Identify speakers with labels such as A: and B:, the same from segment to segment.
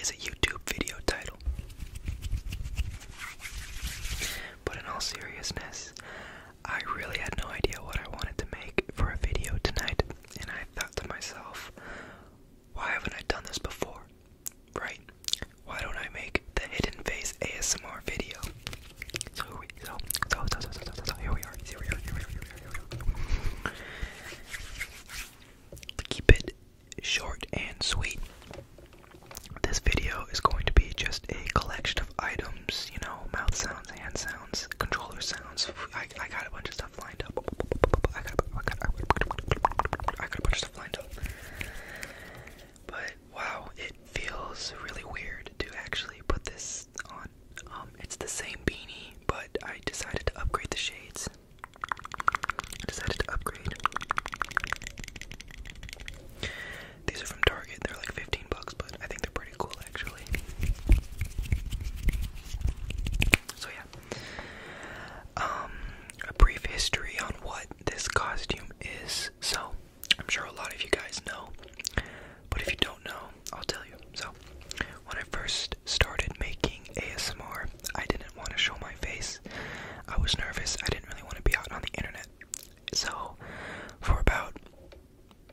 A: is a YouTube video title. But in all seriousness, I really had no idea what I wanted to make for a video tonight, and I thought to myself, why haven't I done this before? Right? Why don't I make the hidden face ASMR video? So, we, so, here we are, here we are, here we are, here we are, here we are. Keep it short and sweet. This video is going to be just a collection of items, you know, mouth sounds, hand sounds, controller sounds. I, I got a bunch of stuff lined up. I got, a bunch of stuff lined up. But wow, it feels really weird to actually put this on. Um, it's the same beanie, but I decided to upgrade the shades. I decided to upgrade. These are from Target. They're like 15 bucks, but I think they're pretty cool actually. So yeah. Um a brief history on what this costume is. So, I'm sure a lot of you guys know, but if you don't know, I'll tell you. So, when I first started making ASMR, I didn't want to show my face I was nervous. I didn't really want to be out on the internet. So, for about,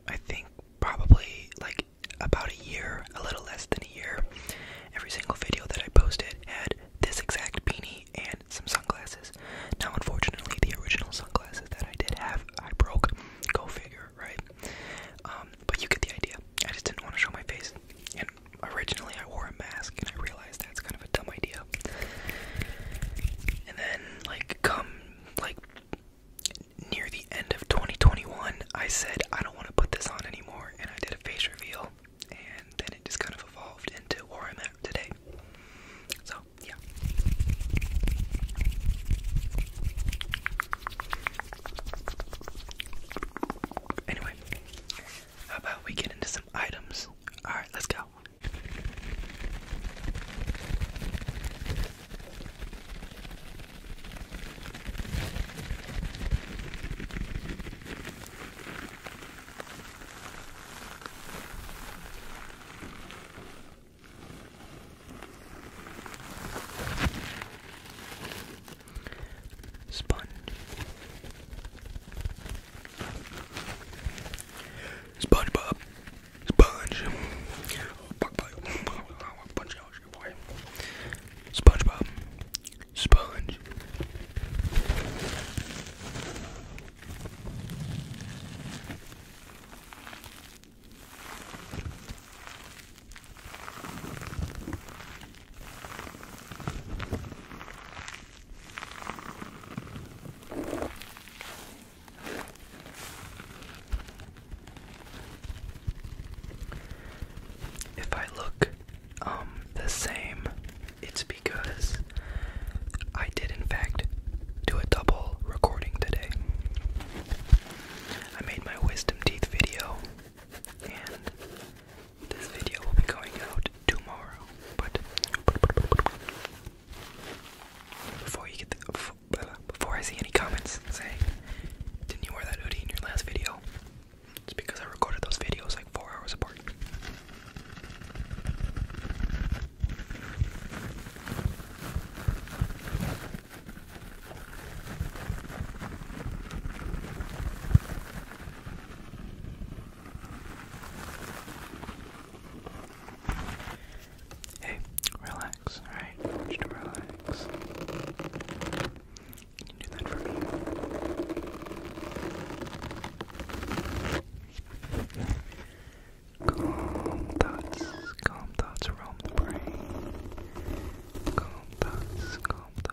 A: I think, probably like about a year, a little less than a year, every single video that I posted had this exact beanie and some sunglasses. Now, unfortunately, the original sunglasses that I did have, I broke. Go figure, right? Um, but you get the idea. I just didn't want to show my face and originally I wore a mask and I realized that's kind of a dumb idea. And then like come like near the end of 2021, I said I don't want to put this on anymore and I did a face reveal and then it just kind of evolved into where I'm at today. So, yeah. Anyway, how about we get into some items? Alright, let's go. Sponge. SpongeBob. Sponge. SpongeBob. Sponge. If I look um, the same, it's because I did in fact do a double recording today. I made my wisdom teeth video and this video will be going out tomorrow, but before you get the, before I see any comments saying, "Didn't you wear that hoodie in your last video?" It's because I recorded those videos like four hours apart. Hey, relax, alright? I relax. do that for me? Calm thoughts, calm thoughts roam the brain. Calm thoughts, calm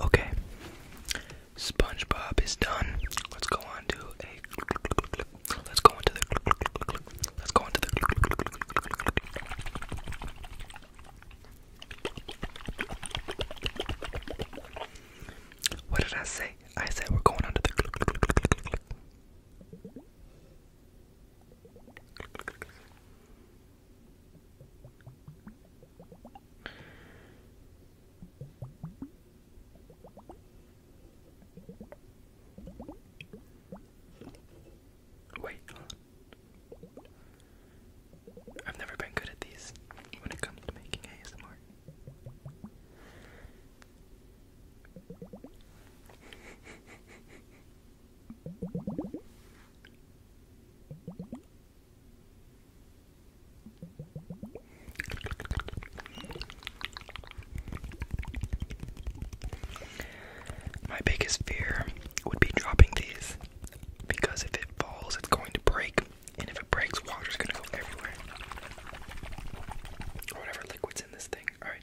A: Okay, SpongeBob is done. Let's go on to a. Let's go into the. Let's go into the. What did I say? I said we're going under the. Wait, I've never been good at these when it comes to making ASMR. My biggest fear would be dropping these because if it falls, it's going to break, and if it breaks, water's going to go everywhere. Or whatever liquid's in this thing. Alright.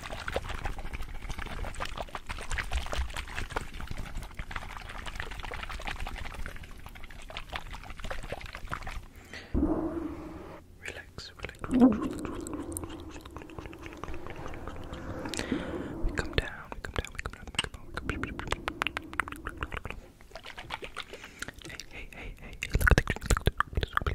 A: Relax, relax, relax, relax, relax. We come down, we come down, we come down, we come down, we come down. We come down. Hey, hey, hey, hey, hey, look at the green, look at the green, look at the green.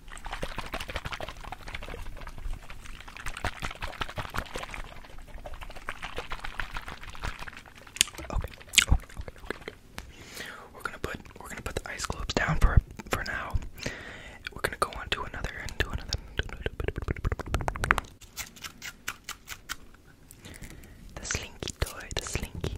A: Okay. We're gonna put we're gonna put the ice globes down for for now. We're gonna go on to another and another. The slinky toy, the slinky.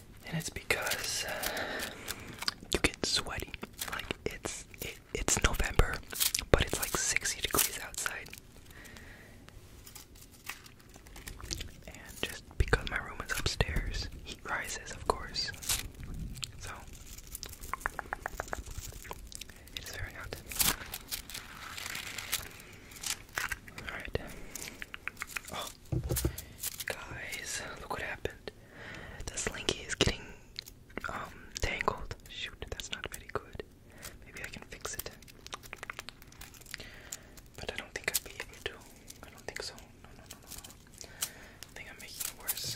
A: and it's because uh, you get sweaty. Like it's it, it's November, but it's like 60 degrees outside. And just because my room is upstairs, heat rises, of course. So it's very hot. Alright. Oh, Guys, look what happened. The slinky is getting um tangled. Shoot, that's not very good. Maybe I can fix it. But I don't think I'd be able to. I don't think so. No, no, no, no, no. I think I'm making it worse.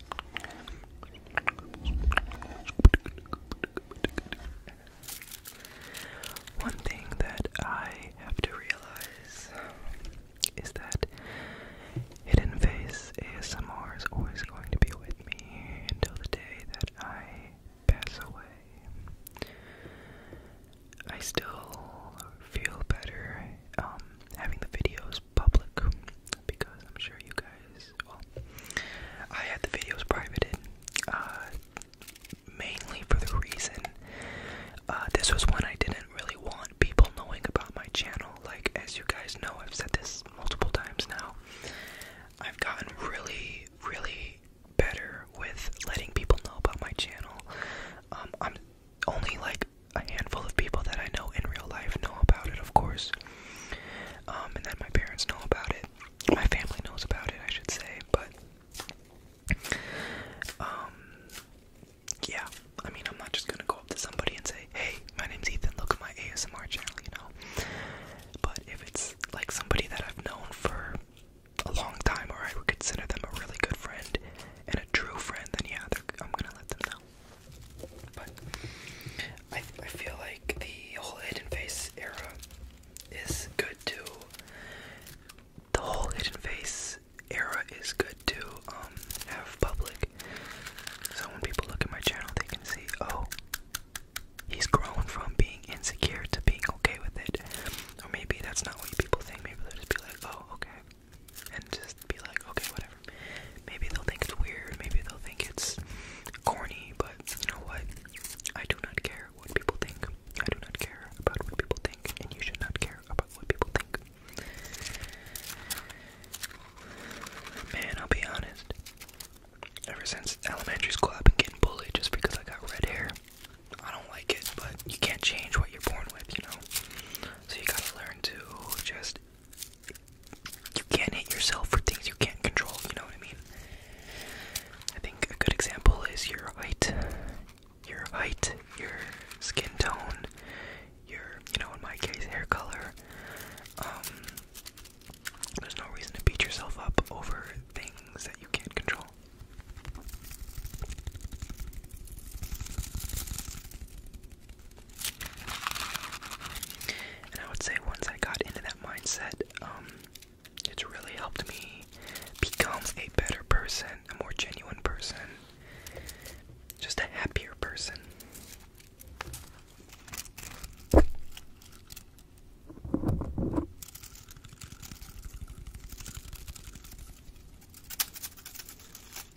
A: One thing that I have to realize is that Hidden Face ASMR is always going to be with me until the day that I pass away. I still feel better um, having the videos public because I'm sure you guys. Well, I had the videos privated uh, mainly for the reason uh, this was one I didn't really want people knowing about my channel. Like, as you guys know, I've said this multiple times now. I've gotten really, really better with letting people know about my channel. Um, I'm only like a handful of people that I know in real life know about it, of course. Um, and then my parents know about it. My family knows about it, I should say. But, um, yeah. I mean, I'm not just gonna go up to somebody and say, "Hey, my name's Ethan. Look at my ASMR channel," you know. But if it's like somebody that I've known for a long time, or I would consider them a really good friend and a true friend, then yeah, I'm gonna let them know. But I, I feel like the whole hidden face era is good too. The whole hidden face era is good to um, have public. So when people look at my channel, they can see, oh, he's grown from being insecure to being okay with it. Or maybe that's not what people think. Maybe they'll just be like, oh, okay and just be like, okay, whatever. Maybe they'll think it's weird, maybe they'll think it's corny, but you know what? I do not care what people think. I do not care about what people think, and you should not care about what people think. Man, I'll be honest. Ever since elementary school, I've been getting bullied just because I got red hair. I don't like it, but you can't change what you're born with, you know? So you gotta learn to just you can't hit yourself for things you can't control, you know what I mean? I think a good example is your height, your height, your skin tone, your, you know, in my case, hair color. Um, there's no reason to beat yourself up over things that you can't control. And I would say once I got into that mindset, um, it's really helped me become a better person, a more genuine person, just a happier person.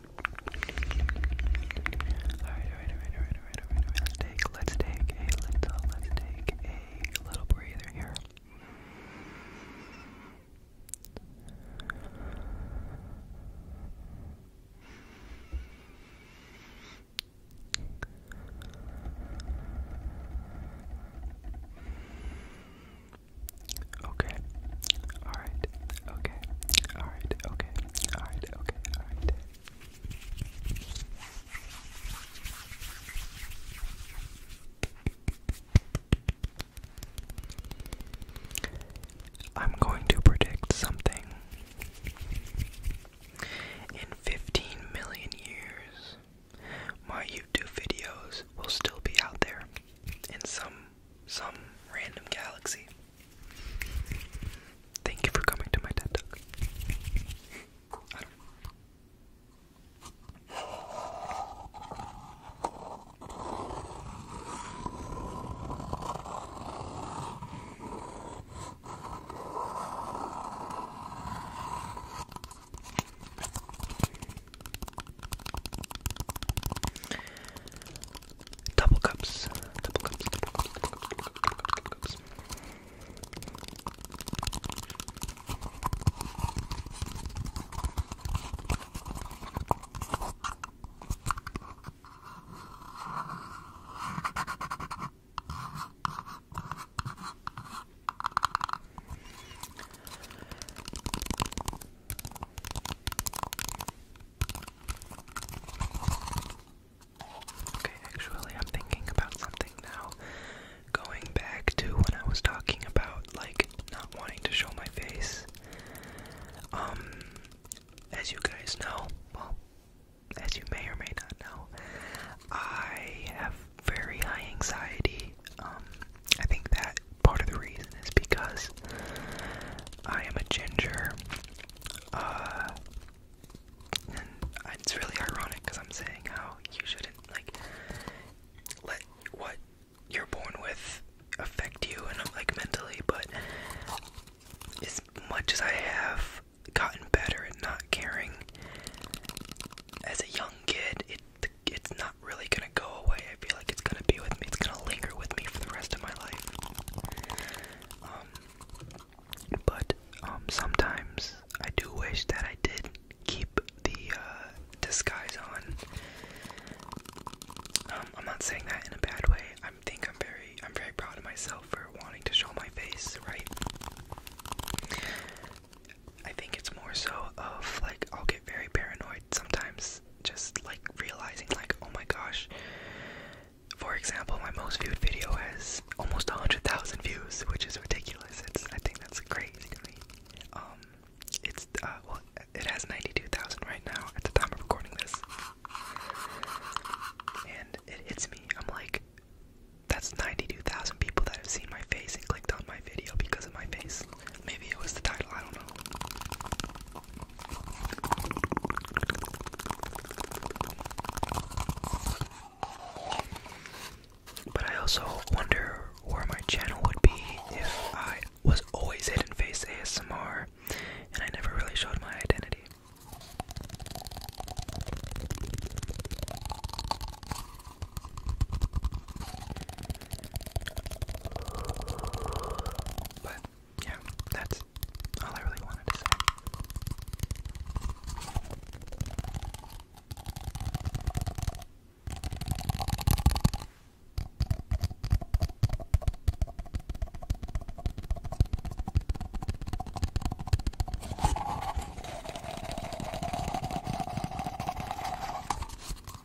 A: Alright, alright, alright, alright, alright, alright, alright. Let's take let's take a little let's take a little breather here. Okay. Alright. Okay. Alright. Okay. Alright. Okay. Alright. I'm going to predict something. In 15 million years, my YouTube videos will still be out there in some some random galaxy. Thank you for coming to my TED Talk double cups, double cups, double cups, double cups, double cups, double cups. Okay, actually, I'm thinking about something now. Going back to when I was talking about, like, not wanting to show my face. Um, as you guys know, well, as you may or may not know, I have very high anxiety. Um, I think that part of the reason is because I am a ginger, uh, it's really ironic because I'm saying how you shouldn't like let what you're born with affect you and like mentally, but as much as I have gotten better at not caring as a young kid, it it's not really gonna go away. I feel like it's gonna be with me. It's gonna linger with me for the rest of my life. Um, but um, sometimes I do wish that I did keep the uh, disguise on. Um, I'm not saying that in a bad way. I think I'm very, I'm very proud of myself for wanting to show my face, right? I think it's more so of like I'll get very paranoid sometimes just like realizing like oh my gosh for example my most viewed video has almost 100,000 views which is ridiculous it's I think that's crazy um it's uh well it has 92,000 right now at the time of recording this and it hits me I'm like that's 92,000 people that have seen my face and clicked on my video because of my face Maybe it was the title, I don't know. But I also wonder where my channel would be if I was always hidden face ASMR and I never really showed my identity. But yeah, that's all I really wanted to say.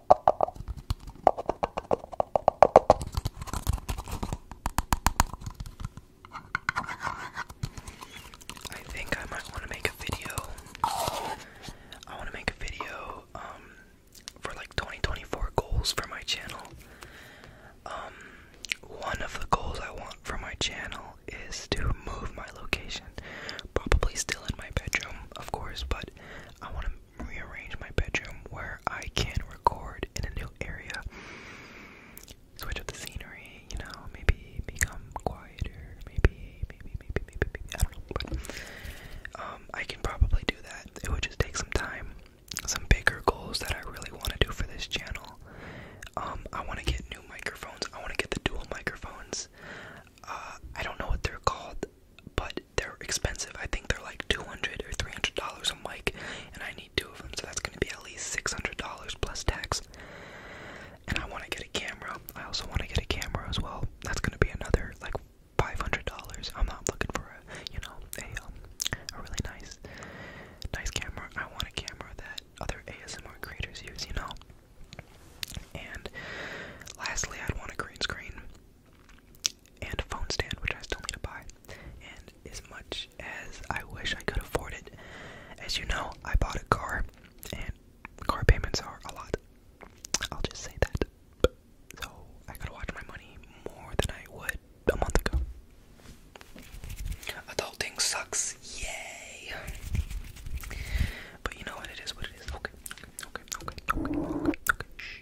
A: I think I might want to make a video. I want to make a video um for like 2024 goals for my channel. Um one of the goals I want for my channel is to move my location. Probably still in my bedroom, of course, but I want to rearrange my bedroom where I can record in a new area. Switch up the scenery, you know, maybe become quieter, maybe, maybe, maybe, maybe, maybe, I don't know, um, I can probably do that. It would just take some time, some bigger goals that I really want to do for this channel. Um, I want to get new microphones, I want to get the dual microphones, uh, I don't know what they're called, but they're expensive. I think they're like two hundred or three hundred dollars a mic, and I need two of them, so that's gonna be at least six hundred dollars plus tax. And I want to get a camera. I also want to get a camera as well. That's gonna be another like five hundred dollars. I'm not looking for a you know a um a really nice nice camera. I want a camera that other ASMR creators use, you know. And lastly, I'd want a green screen and a phone stand, which I still need to buy. And as much as I wish I could afford it, as you know, I bought a car, and car payments are a lot. I'll just say that. So I gotta watch my money more than I would a month ago. Adulting sucks, yay! But you know what? It is what it is. Okay, okay, okay, okay, okay, okay. okay. Shh.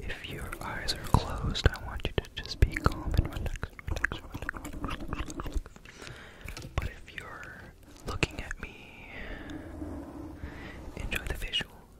A: If your eyes are closed, I want you to just be calm and relax, But if you're looking at me, enjoy the visual.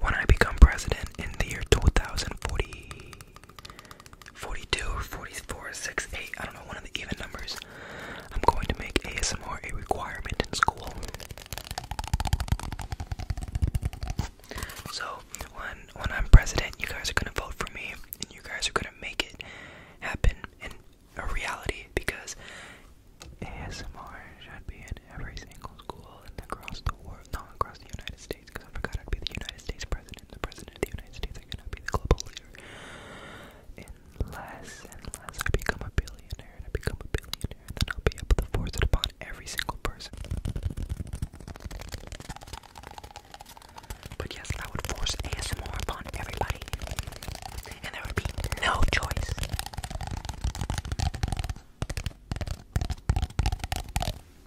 A: When I become president in the year 2040 42 44, 6, 8, I don't know, one of the even numbers. I'm going to make ASMR a requirement in school. So when when I'm president, you guys are gonna vote for me, and you guys are gonna make it happen in a reality because ASMR should be in every single school and across the world, not across the United States because I forgot I'd be the United States president. The president of the United States, I am gonna be the global leader. Unless, unless I become a billionaire and I become a billionaire, and then I'll be able to force it upon every single person. But yes, I would force ASMR upon everybody, and there would be no choice.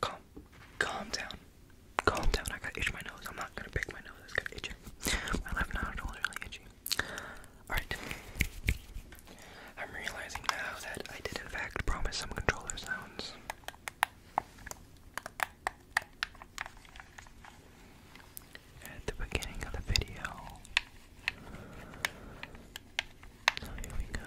A: Calm, calm down, calm down. I gotta my nose. I'm not gonna pick my nose. I just to itch My left nostril is really itchy. Alright. I'm realizing now that I did, in fact, promise some controller sounds. At the beginning of the video. So here we go.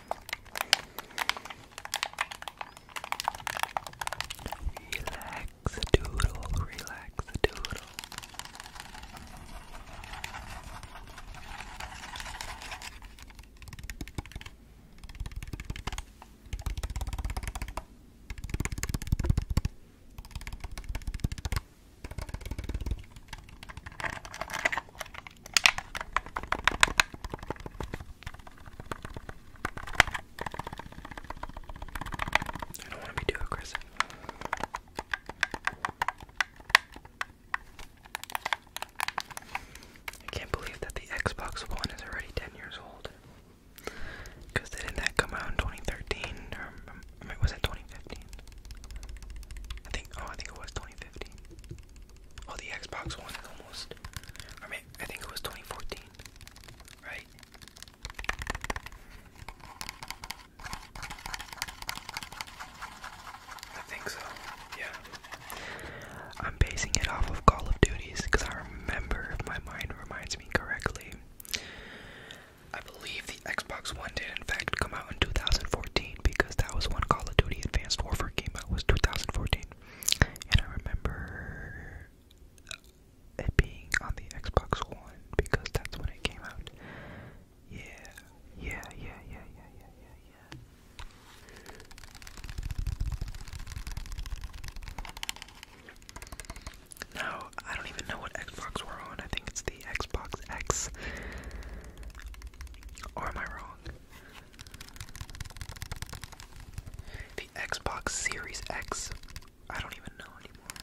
A: Relax, doodle, relax, doodle. Relax, I don't want to be too aggressive. I can't believe that the Xbox One is already 10 years old. Because didn't that come out in 2013? Um, was it 2015? I think, oh, I think it was 2015. Oh, the Xbox One almost. I mean, I think it was 2014, right? I think so. Yeah. I'm basing it off of Call of Duties because I remember, if my mind reminds me correctly, I believe the Xbox One did in fact come out in 2014. 14 because that was when Call of Duty Advanced Warfare came out, was 2014. And I remember it being on the Xbox One because that's when it came out. Yeah, yeah, yeah, yeah, yeah, yeah, yeah, yeah. Now, I don't even know what Xbox we're on. I think it's the Xbox X. Or am I wrong? The Xbox Series X. I don't even know anymore.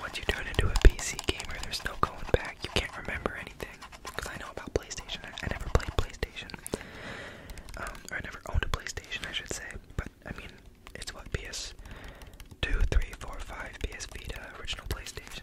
A: Once you turn into a PC gamer, there's no going back. You can't remember anything. Because I know about PlayStation. I, never played PlayStation. Um, I never owned a PlayStation, I should say. But, I mean, it's what? PS2, 3, 4, 5, PS Vita, original PlayStation,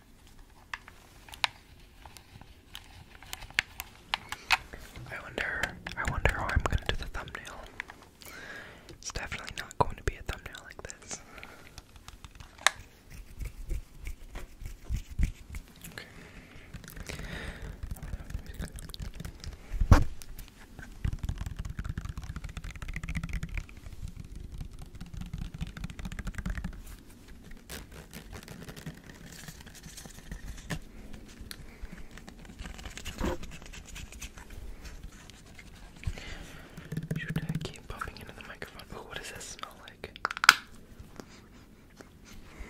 A: I wonder I wonder how I'm gonna do the thumbnail. It's definitely not going to be a thumbnail like this. Should I keep bumping into the microphone? Oh, what does that smell like?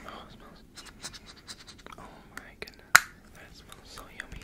A: Oh, smells. Oh my goodness, that smells so yummy.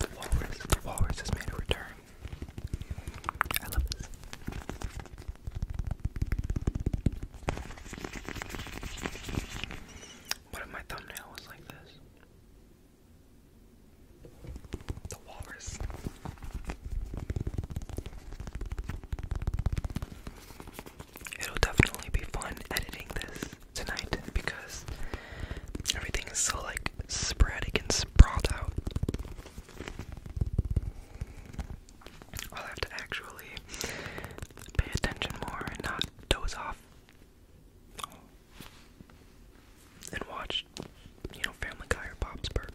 A: The walrus, has made a return. I love this. What if my thumbnail was like this? The walrus. It'll definitely be fun editing this tonight because everything is so like sporadic and sprawled out. I'll have to actually pay attention more and not doze off and watched, you know, Family Guy or Bob's Burgers.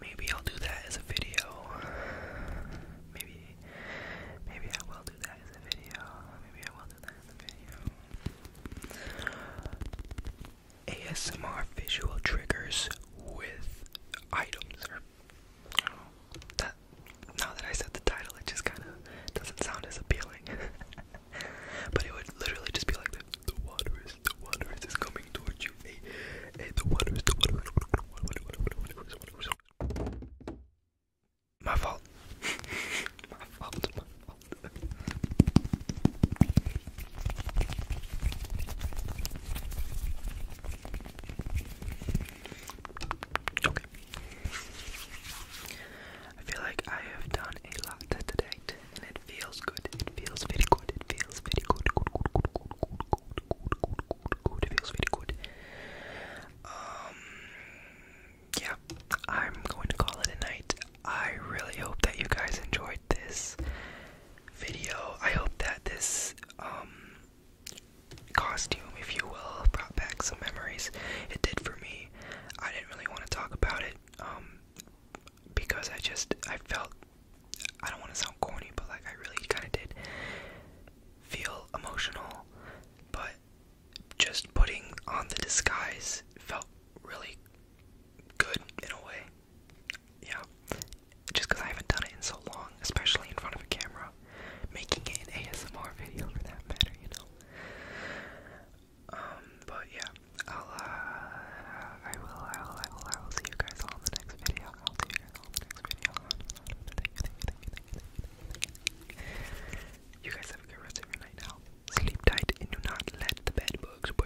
A: Maybe I'll do that as a video. Maybe, maybe I will do that as a video. Maybe I will do that as a video. ASMR visual triggers with items now that I said the title, it just kind of doesn't sound as appealing. but it would literally just be like this. The water is, the water is, coming towards you. Hey, hey, the water is, the water is. My fault. my fault, my fault. okay. I feel like I have done a lot today, and it feels good. It feels very good. It feels very good. Good, good, good, good, good, good, good, good, good. It feels very good. Um, yeah, I'm going to call it a night. I really hope that you guys enjoyed this video. I hope that this um costume, if you will, brought back some memories. It did for me. I didn't really want to talk about it um, because I just I felt I don't want to sound corny, but like I really kind of did feel emotional. But just putting on the disguise felt really good in a way. Yeah, just because I haven't done it in so long, especially in front of a camera making an ASMR video for that matter, you know. Um, but yeah, I'll uh, I will, I will, I will, see you guys all in the next video. I'll see you guys all in the next video. You guys have a good rest of your night now. Sleep tight and do not let the bed bugs Okay.